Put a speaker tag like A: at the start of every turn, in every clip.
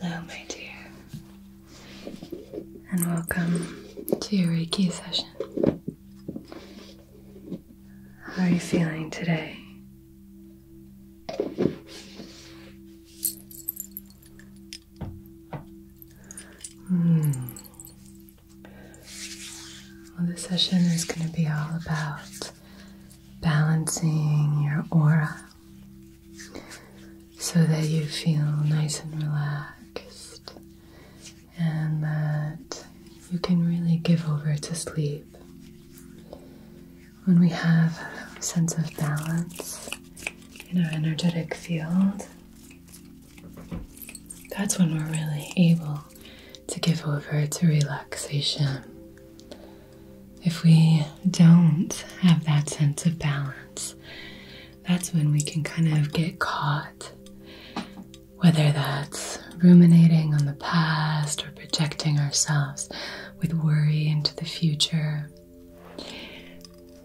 A: Hello, my dear, and welcome to your Reiki session. How are you feeling today? Hmm. Well, this session is going to be all about balancing your aura so that you feel nice and relaxed and that you can really give over to sleep. When we have a sense of balance in our energetic field, that's when we're really able to give over to relaxation. If we don't have that sense of balance, that's when we can kind of get caught, whether that's ruminating on the past or projecting ourselves with worry into the future.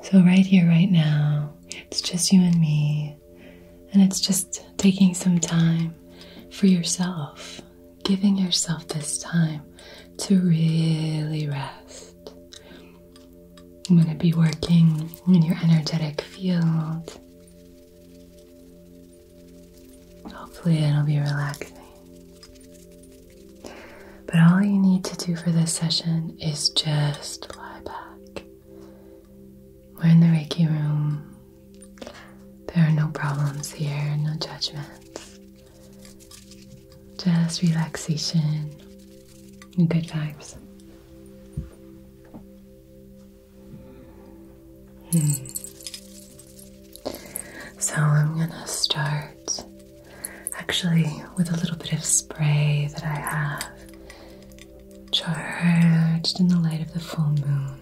A: So, right here, right now, it's just you and me, and it's just taking some time for yourself giving yourself this time to really rest. I'm going to be working in your energetic field. Hopefully, it'll be relaxing. But all you need to do for this session is just lie back. We're in the Reiki room, there are no problems here, no judgments, just relaxation and good vibes. Hmm. So I'm gonna start actually with a little bit of spray that I have charged in the light of the full moon.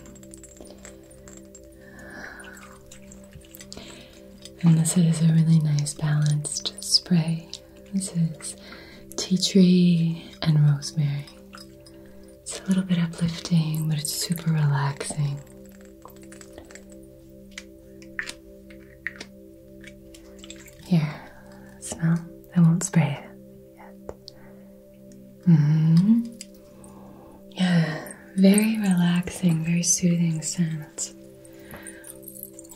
A: And this is a really nice balanced spray. This is tea tree and rosemary. It's a little bit uplifting, but it's super relaxing. Here, smell. I won't spray it yet. Mm-hmm. Yeah, very relaxing, very soothing scent.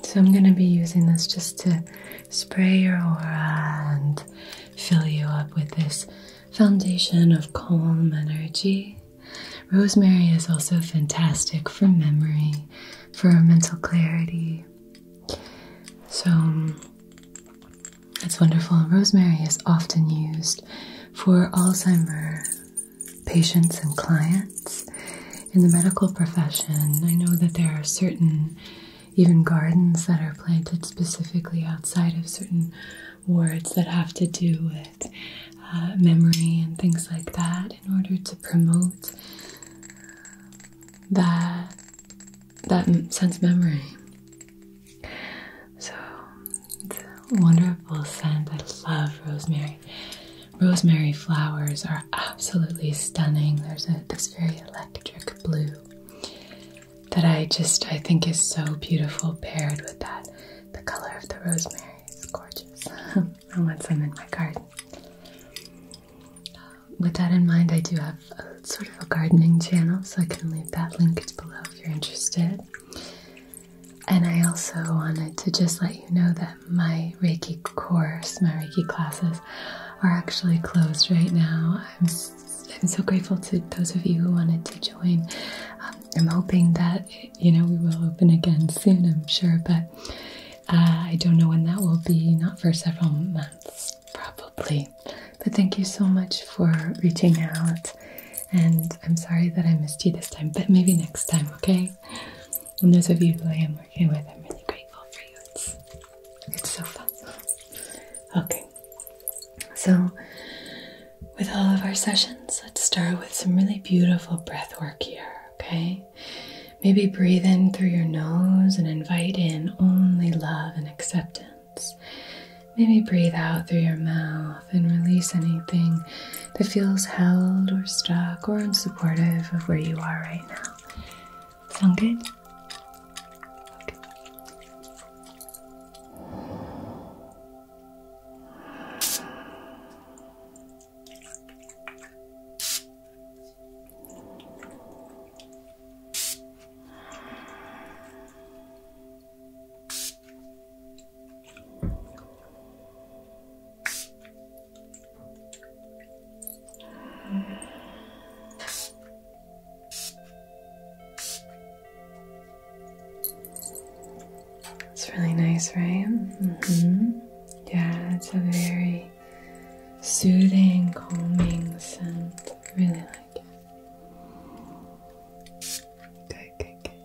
A: So I'm going to be using this just to spray your aura and fill you up with this foundation of calm energy. Rosemary is also fantastic for memory, for mental clarity. So it's wonderful. Rosemary is often used for Alzheimer patients and clients in the medical profession. I know that there are certain even gardens that are planted specifically outside of certain wards that have to do with uh, memory and things like that in order to promote that that sense memory so it's a wonderful scent. I love rosemary. Rosemary flowers are absolutely stunning. There's this very electric blue that I just I think is so beautiful paired with that. The color of the rosemary is gorgeous. I want some in my garden. With that in mind, I do have sort of a gardening channel, so I can leave that linked below if you're interested. And I also wanted to just let you know that my Reiki course, my Reiki classes, are actually closed right now. I'm, I'm so grateful to those of you who wanted to join. Um, I'm hoping that, you know, we will open again soon, I'm sure, but uh, I don't know when that will be, not for several months, probably. But thank you so much for reaching out. And I'm sorry that I missed you this time, but maybe next time, okay? And those of you who I am working with, I'm really grateful for you. It's, it's so fun. Okay. So, with all of our sessions, let's start with some really beautiful breath work here, okay? Maybe breathe in through your nose and invite in only love and acceptance. Maybe breathe out through your mouth and release anything that feels held or stuck or unsupportive of where you are right now. Sound good? Okay. It's really nice, right? Mm-hmm. Yeah, it's a very soothing, calming scent. Really like Okay.
B: Okay. Okay. good, good,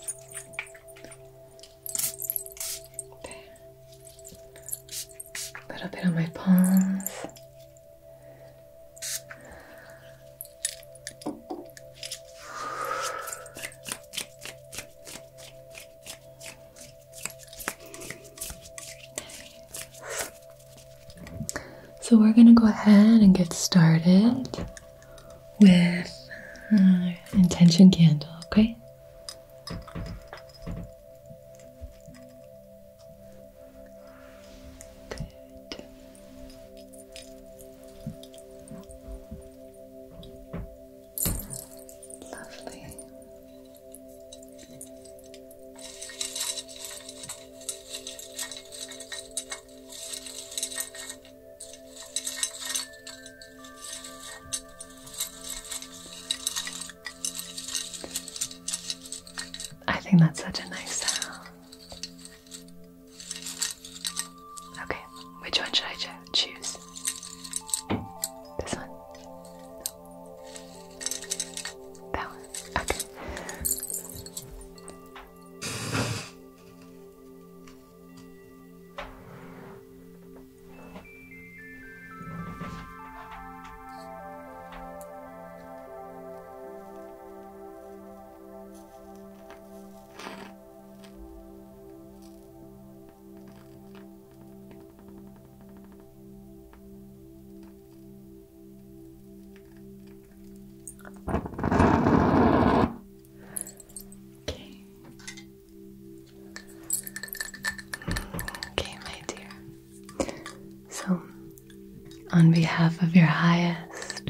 A: good, good. There. A little bit on my palms. So we're going to go ahead and get started with uh, intention candle, okay? Lovely. I think that's such a nice sound. Okay, which one should I choose? This one? That one? Okay. Okay. Okay, my dear. So, on behalf of your highest,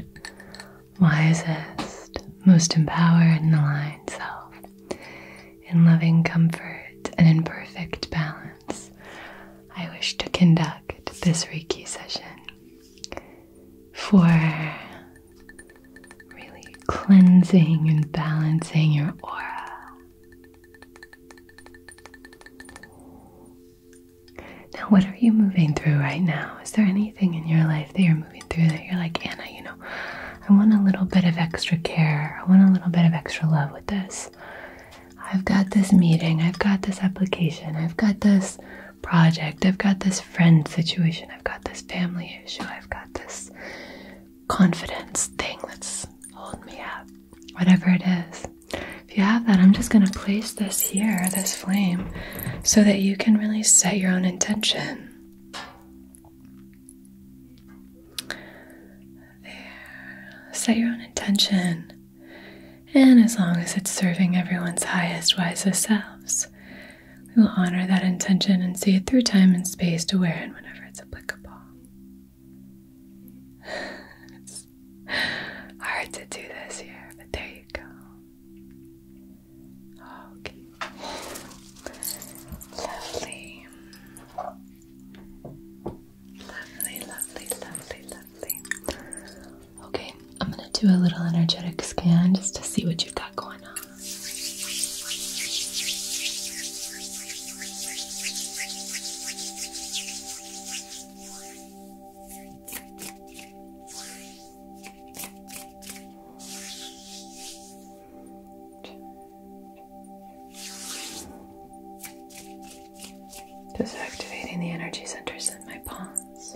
A: wisest, most empowered, and aligned self, in loving comfort and in perfect balance, I wish to conduct this Reiki session for cleansing and balancing your aura. Now, what are you moving through right now? Is there anything in your life that you're moving through that you're like, Anna, you know, I want a little bit of extra care. I want a little bit of extra love with this. I've got this meeting. I've got this application. I've got this project. I've got this friend situation. I've got this family issue. I've got this confidence thing that's holding me up. Whatever it is. If you have that, I'm just going to place this here, this flame, so that you can really set your own intention. There. Set your own intention. And as long as it's serving everyone's highest, wisest selves, we will honor that intention and see it through time and space to where and whenever it's applicable. it's hard to do this here, but there you go. Okay. Lovely. Lovely, lovely, lovely, lovely. Okay, I'm gonna do a little energetic scan just to see what you've got going on. Just activating the energy centers in my palms.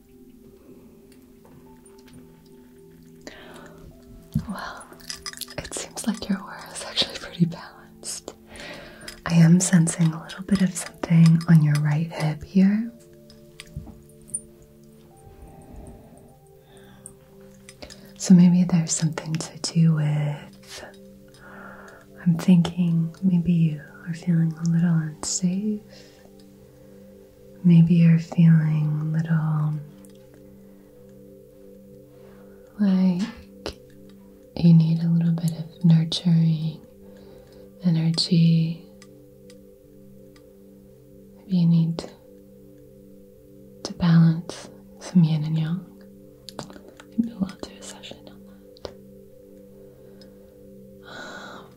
A: well, it seems like your aura is actually pretty balanced. I am sensing a little bit of something on your right hip here. So maybe there's something to do with. I'm thinking maybe you are feeling a little unsafe. Maybe you're feeling a little like you need a little bit of nurturing energy. Maybe you need to balance some yin and yang.
B: we'll do a session on that.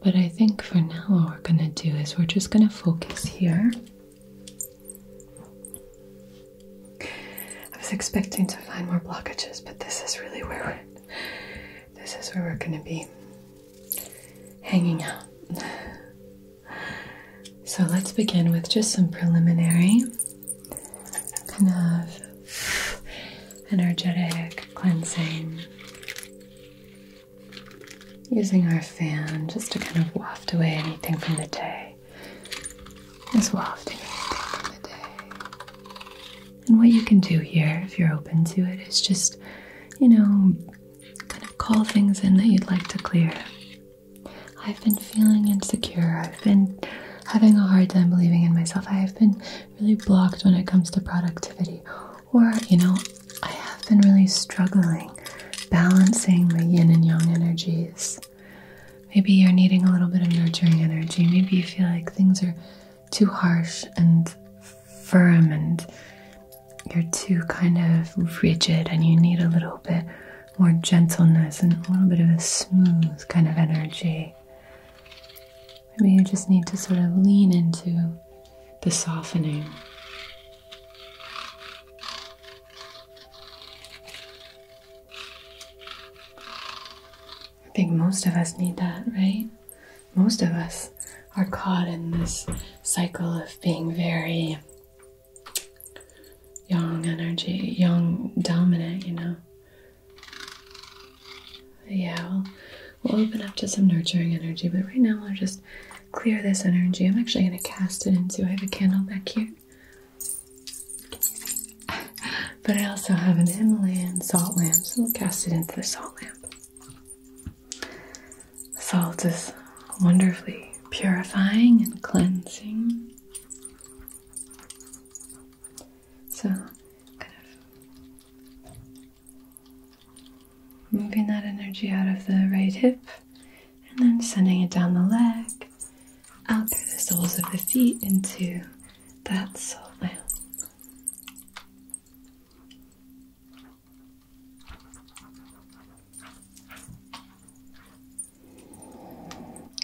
A: But I think for now, what we're gonna do is we're just gonna focus here. I was expecting to find more blockages, but this is really where we're this is where we're gonna be hanging out. So let's begin with just some preliminary kind of energetic cleansing. Using our fan just to kind of waft away anything from the day. Just wafting anything from the day. And what you can do here, if you're open to it, is just, you know, kind of call things in that you'd like to clear. I've been feeling insecure. I've been having a hard time believing in myself. I've been really blocked when it comes to productivity. Or, you know, I have been really struggling balancing the yin and yang energies. Maybe you're needing a little bit of nurturing energy. Maybe you feel like things are too harsh and firm and you're too kind of rigid and you need a little bit more gentleness and a little bit of a smooth kind of energy. Maybe you just need to sort of lean into the softening. I think most of us need that, right? Most of us are caught in this cycle of being very yang energy, yang dominant, you know, yeah, we'll, open up to some nurturing energy, but right now I'll just clear this energy. I'm actually going to cast it into. I have a candle back here. But I also have an Himalayan salt lamp, so we'll cast it into the salt lamp. Salt is wonderfully purifying and cleansing. So, kind of moving that energy out of the right hip and then sending it down the leg, out through the soles of the feet into that sole lamp.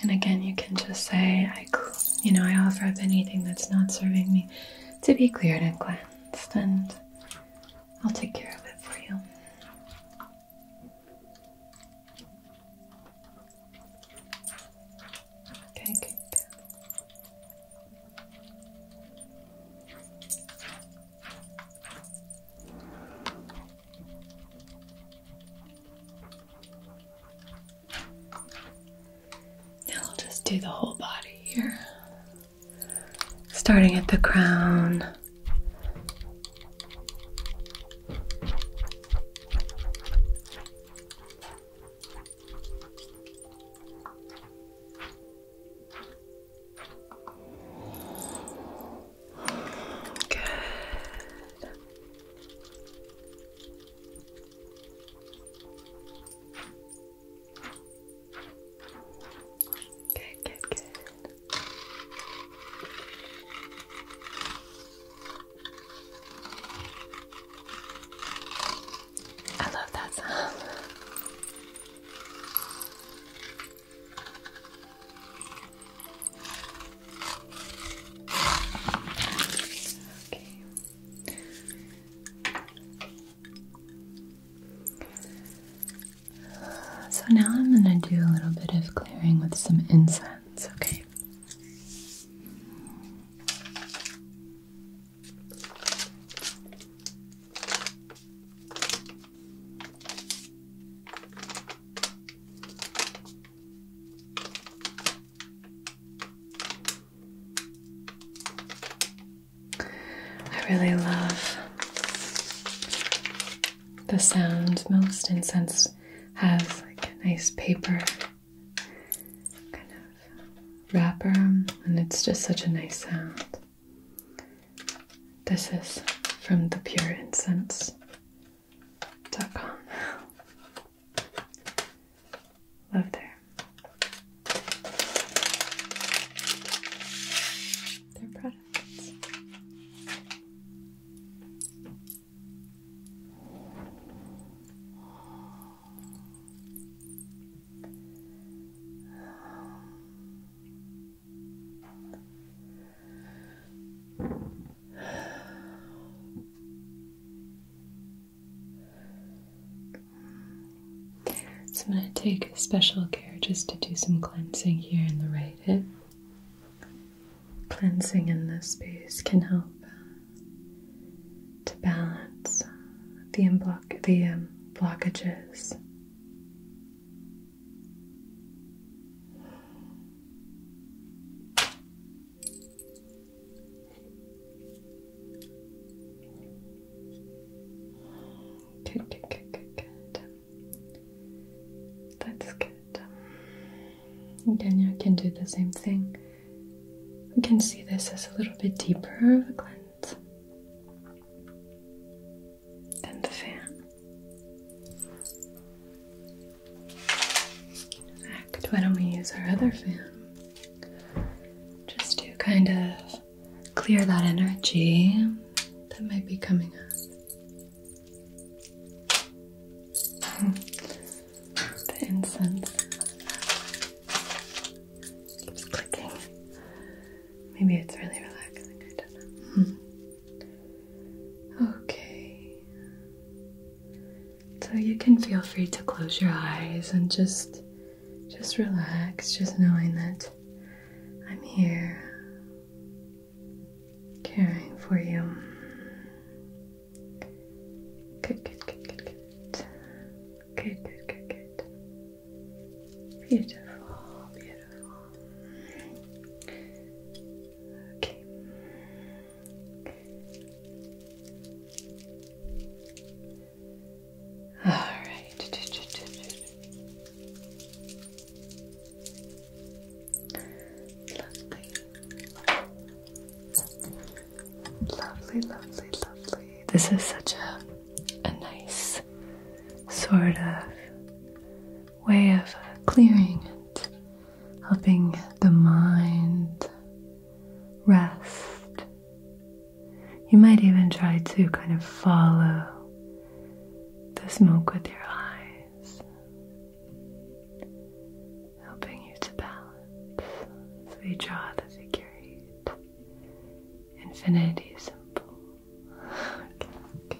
A: And again, you can just say, I, you know, I offer up anything that's not serving me to be cleared and cleansed, and I'll take care of it for you. Okay, now I'll just do the whole body here, starting at the crown. Good. Good, good, good. I love that sound. Okay. So now I'm going to do a little bit of clearing with some incense, okay? I really love the sound. Most incense has like a nice paper kind of wrapper, and it's just such a nice sound. This is from thepureincense.com. Love her. Their products. So I'm going to take special care just to do some cleansing here in the right hip. Cleansing in this space can help uh, to balance the, unblock the um, blockages. Good, good, good, good, That's good. Again, you can do the same thing. We can see this as a little bit deeper of a glint than the fan. In fact, why don't we use our other fan just to kind of clear that energy that might be coming up? the incense keeps clicking. Maybe it's really relaxing, I
B: don't know.
A: Hmm. Okay. So you can feel free to close your eyes and just just relax, just knowing that I'm here caring for you. Good, good, good, good, good. Good, good, good, good. Beautiful, beautiful. Okay.
B: All right.
A: Lovely. Lovely, lovely, This is such a a nice sort of way of clearing and helping the mind rest. You might even try to kind of follow the smoke with your eyes, helping you to balance. So draw the figure eight, infinity symbol. Okay,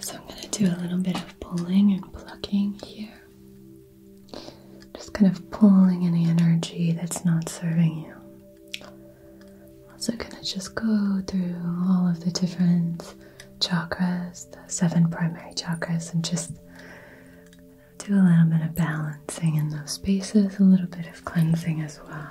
A: So I'm going to do a little bit of pulling and plugging here. Just kind of pulling any energy that's not serving you. Also, gonna just go through all of the different chakras, the seven primary chakras, and just do a little bit of balancing in those spaces, a little bit of cleansing as well.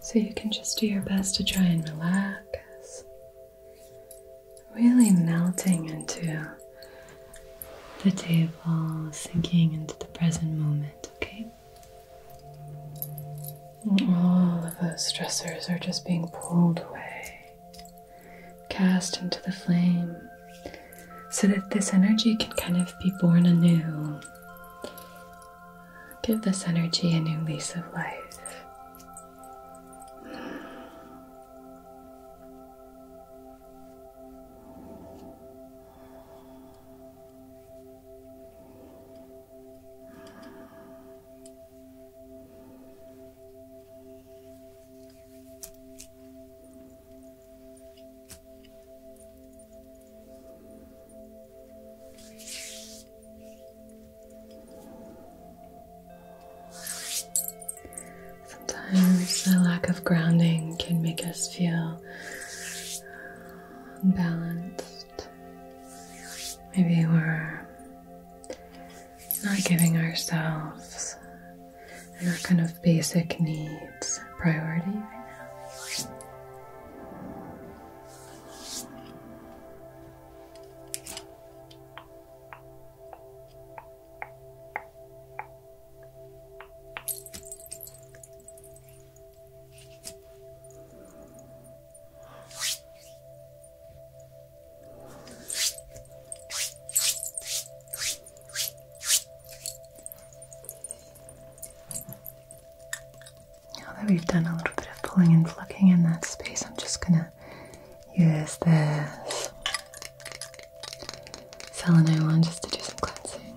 A: So you can just do your best to try and relax, really melting into the table, sinking into the present moment, okay? all of those stressors are just being pulled away cast into the flame so that this energy can kind of be born anew. Give this energy a new lease of life. Sometimes a lack of grounding can make us feel unbalanced. Maybe we're not giving ourselves our kind of basic needs priority right now. Now that we've done a little bit of pulling and plucking in that space, I'm just gonna use this selenite one just to do some cleansing.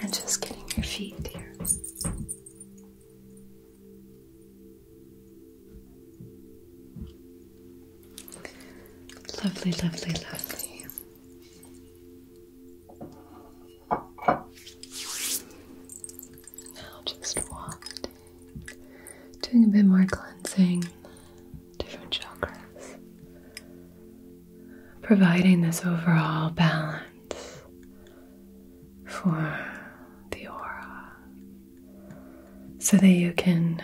B: And just getting your feet here.
A: Lovely, lovely, lovely. Now just doing a bit more cleansing, different chakras, providing this overall balance for the aura so that you can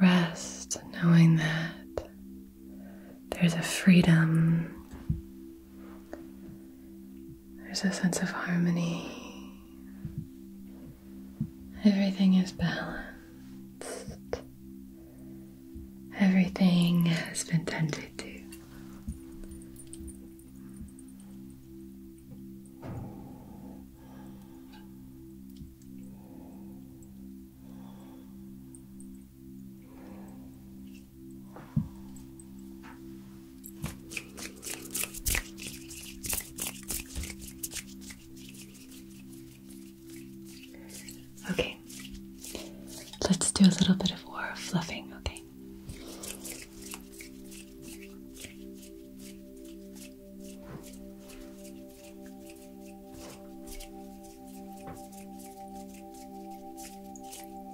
A: rest knowing that there's a freedom there's a sense of harmony. Everything is balanced. Everything has been
B: tended to. Okay,
A: let's do a little bit of more fluffing, okay? Okay.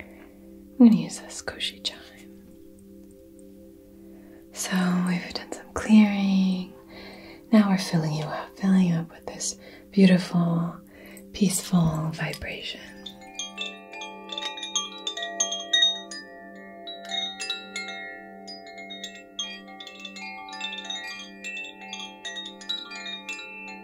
A: I'm going to use this Koshi chime. So we've done some clearing. Now we're filling you up, filling you up with this beautiful, peaceful vibration.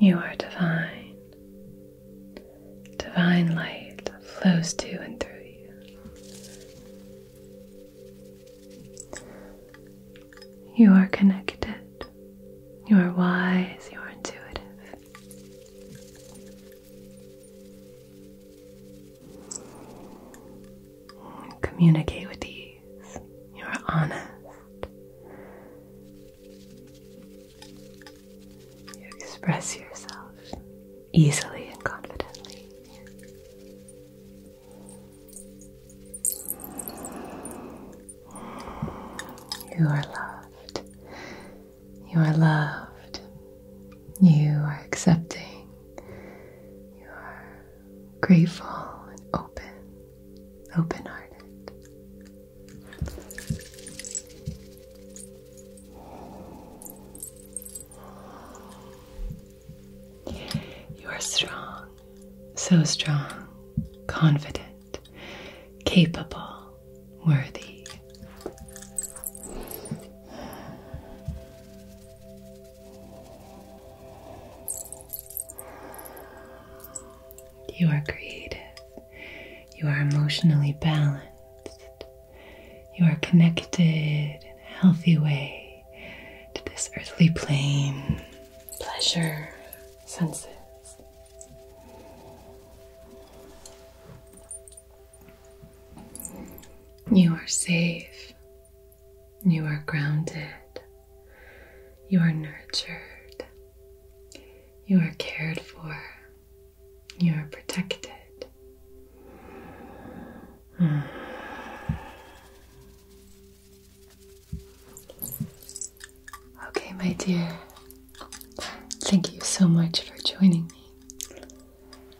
A: You are divine divine light flows to and through you. You are connected, you are wise, you are intuitive. Communicate with ease, you are honest. You express yourself easily and confidently. You are loved. You are loved. You are accepting. You are grateful and open, open hearted. You are strong, so strong, confident, capable, worthy. You are creative. You are emotionally balanced. You are connected in a healthy way to this earthly plane, pleasure, senses. You are safe. You are grounded. You are nurtured. You are cared for. You are protected. Hmm. Okay, my dear. Thank you so much for joining me.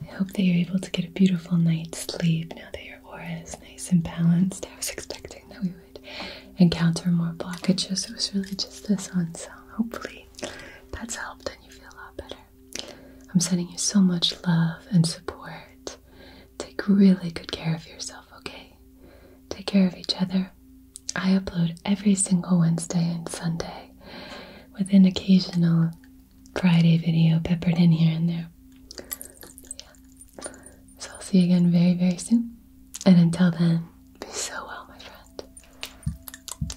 A: I hope that you're able to get a beautiful night's sleep now that your aura is nice and balanced. I was expecting that we would encounter more blockages. It was really just this one, so hopefully that's helped and you feel a lot better. I'm sending you so much love and support. Take really good care of yourself, okay? Take care of each other. I upload every single Wednesday and Sunday with an occasional Friday video peppered in here and there. So I'll see you again very, very soon. And until then, be so well, my friend.